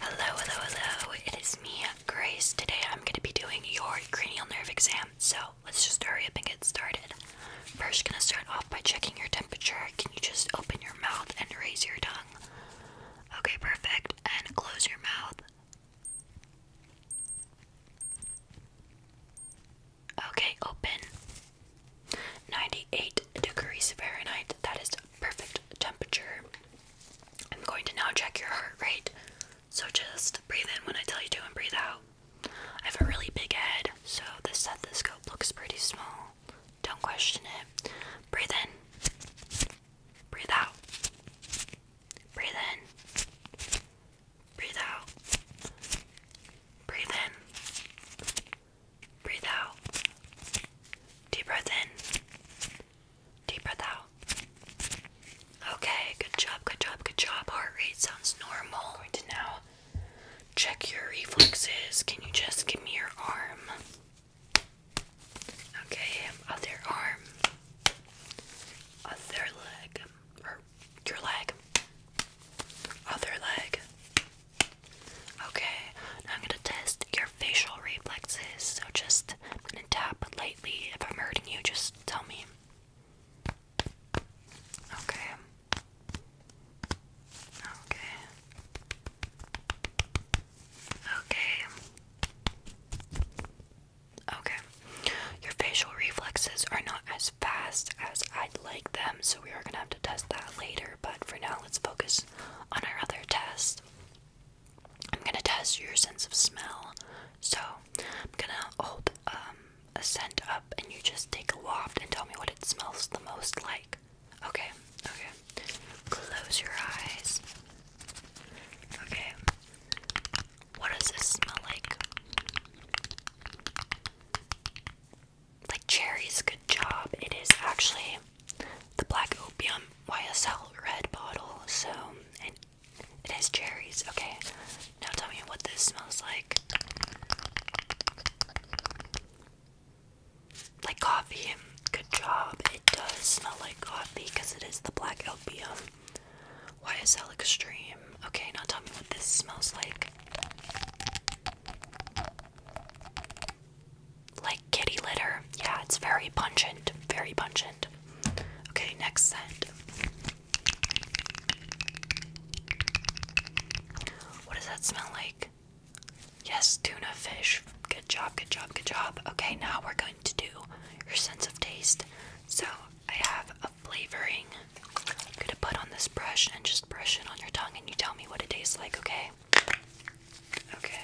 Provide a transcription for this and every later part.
Hello, hello, hello. It is me, Grace. Today I'm going to be doing your cranial nerve exam. So let's just hurry up and get started. First, going to start off by checking your temperature. Can you just open your mouth and raise your tongue? Okay, perfect. And close your mouth. Okay, open. 98 degrees Fahrenheit. That is perfect temperature. I'm going to now check your heart rate. So just breathe in when I tell you to and breathe out. I have a really big head, so the stethoscope looks pretty small. Don't question it. Breathe in. Breathe out. Breathe in. Breathe out. Breathe in. Breathe out. Deep breath in. Deep breath out. Okay, good job, good job, good job. Heart rate sounds normal. i now check your reflexes. Can you just give me your arm? Okay, other arm. Other leg. your leg. Other leg. Okay, I'm gonna test your facial reflexes. So just gonna tap lightly. If I'm hurting you, just tell me. Okay. Okay. Okay. Okay. Your facial reflexes are not as fast as I'd like them, so we are gonna have to test that later. But for now, let's focus on our other test. I'm gonna test your sense of smell. So I'm gonna hold um, a scent up and you just take a waft and tell me what it smells the most like. Okay, okay. Close your eyes. Okay. What does this smell like? like cherries, good job. It is actually the Black Opium YSL red bottle, so it, it has cherries. Okay, now tell me what this smells like. Like coffee, good job. It does smell like coffee because it is the Black Opium YSL Extreme. Okay, now tell me what this smells like. Like kitty litter. Yeah, it's very pungent. Very pungent. Okay, next scent. What does that smell like? Yes, tuna fish. Good job, good job, good job. Okay, now we're going to do your sense of taste. So I have a flavoring I'm gonna put on this brush and just brush it on your tongue, and you tell me what it tastes like, okay? Okay.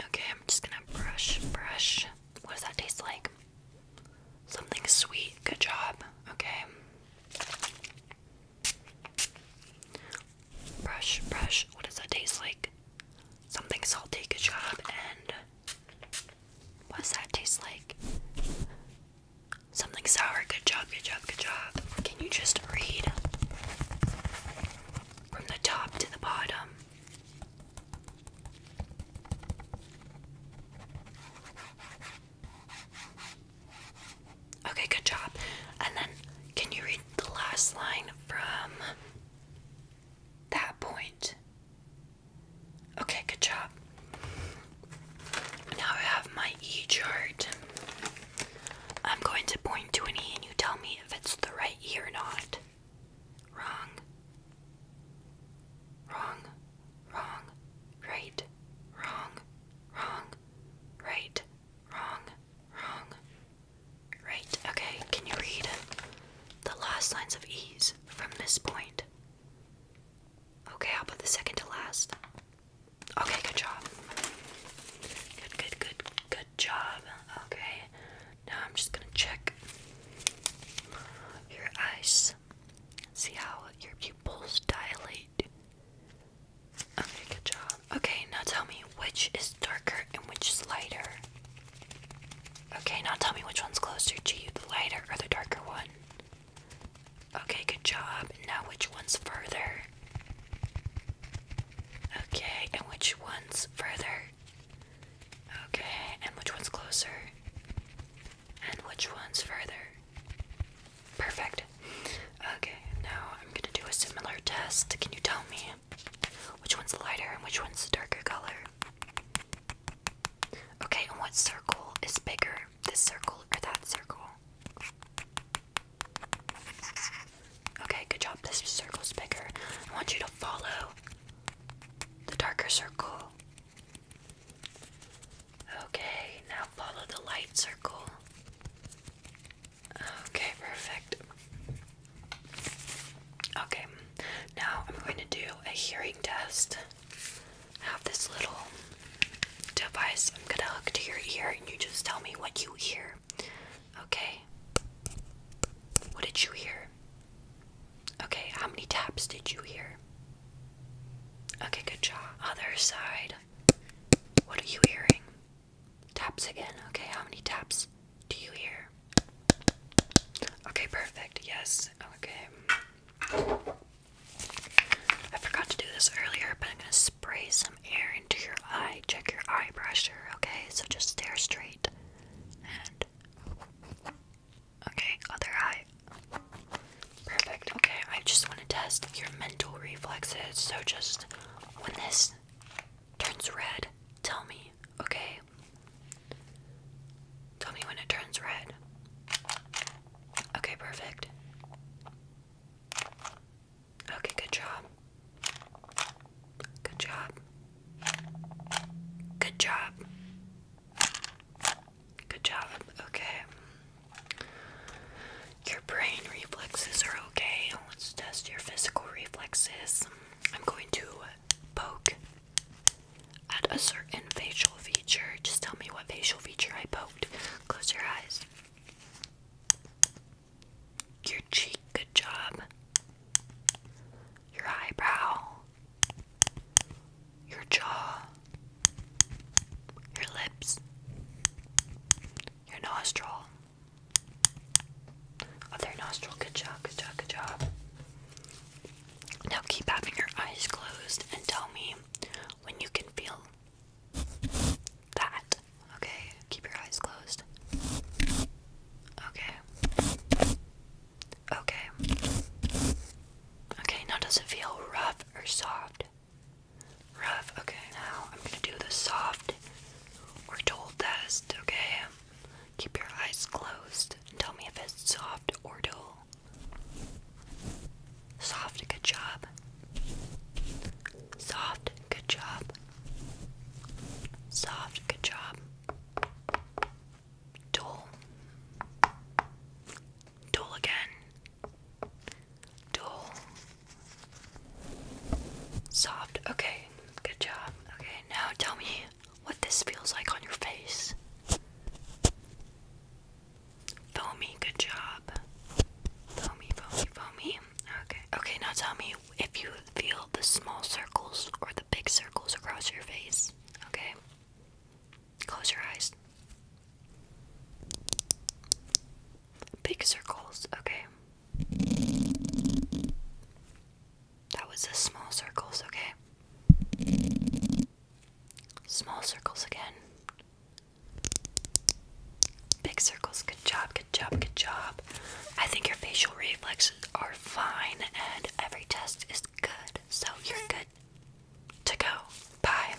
Okay, I'm just gonna brush, brush. What does that taste like? Something sweet. Good job. Okay. Brush, brush. What does that taste like? Something salty. Good job. And What's that taste like? Something sour. Good job, good job, good job. Can you just read from the top to the bottom? Okay, good job. And then can you read the last line from that point? Okay, good job. Now I have my E chart. I'm going to point to an E and you tell me if it's the right E or not. Wrong. Wrong. Wrong. Right. Wrong. Wrong. Right. Wrong. Wrong. Right, okay, can you read the last lines of ease from this point? Okay, I'll put the second to last? Okay, good job. Good, good, good, good job. Okay, now I'm just gonna check your eyes. See how your pupils dilate. Okay, good job. Okay, now tell me which is darker and which is lighter. Okay, now tell me which one's closer to you, the lighter or the darker one. Okay, good job. Now which one's further? Okay, and which one's further? Okay, and which one's closer? And which one's further? Perfect. Okay, now I'm gonna do a similar test. Can you tell me which one's the lighter and which one's the darker color? Okay, and what circle is bigger? This circle or that circle? Okay, good job. This circle's bigger. I want you to follow the darker circle. Okay, now follow the light circle. Okay, perfect. Okay, now I'm going to do a hearing test. have this little device I'm going to hook to your ear, and you just tell me what you hear. Okay? What did you hear? Okay, how many taps did you hear? Okay, good job. Other side. What are you hearing? Taps again. Okay, how many taps do you hear? Okay, perfect. Yes. Okay. I forgot to do this earlier, but I'm going to spray some air into your eye. Check your eye pressure, okay? So just stare straight. And. Okay, other eye. Perfect. Okay, I just want to test your mental reflexes. So just when this turns red, tell me, okay? Tell me when it turns red. Okay, perfect. Okay, good job. Good job. Good job. Good job. Okay. Your brain reflexes are okay. Let's test your physical reflexes. I'm going to poke at a certain facial feature. Just tell me what facial feature I poked. Close your eyes. Your cheek, good job. Your eyebrow. Your jaw. Your lips. Your nostril. Other oh, nostril, good job, good job, good job. Now keep having your eyes closed and tell me when you can feel that. Okay, keep your eyes closed. Okay. Okay. Okay, now does it feel rough or soft? Rough. Okay, now I'm gonna do the soft or dull test, okay? Keep your eyes closed and tell me if it's soft or dull. Soft, good job. Soft, good job. Soft, good job. Dull. Dull again. Dull. Soft. Okay, good job. Okay, now tell me what this feels like on your face. Foamy, good job. Foamy, foamy, foamy. Okay, okay, now tell me if you feel the small circles or the big circles across your face. Okay, close your eyes. Big circles, okay. That was the small circles, okay. Small circles again. Big circles, good job, good job, good job. I think your facial reflexes are fine and every test is good, so you're good to go. Bye.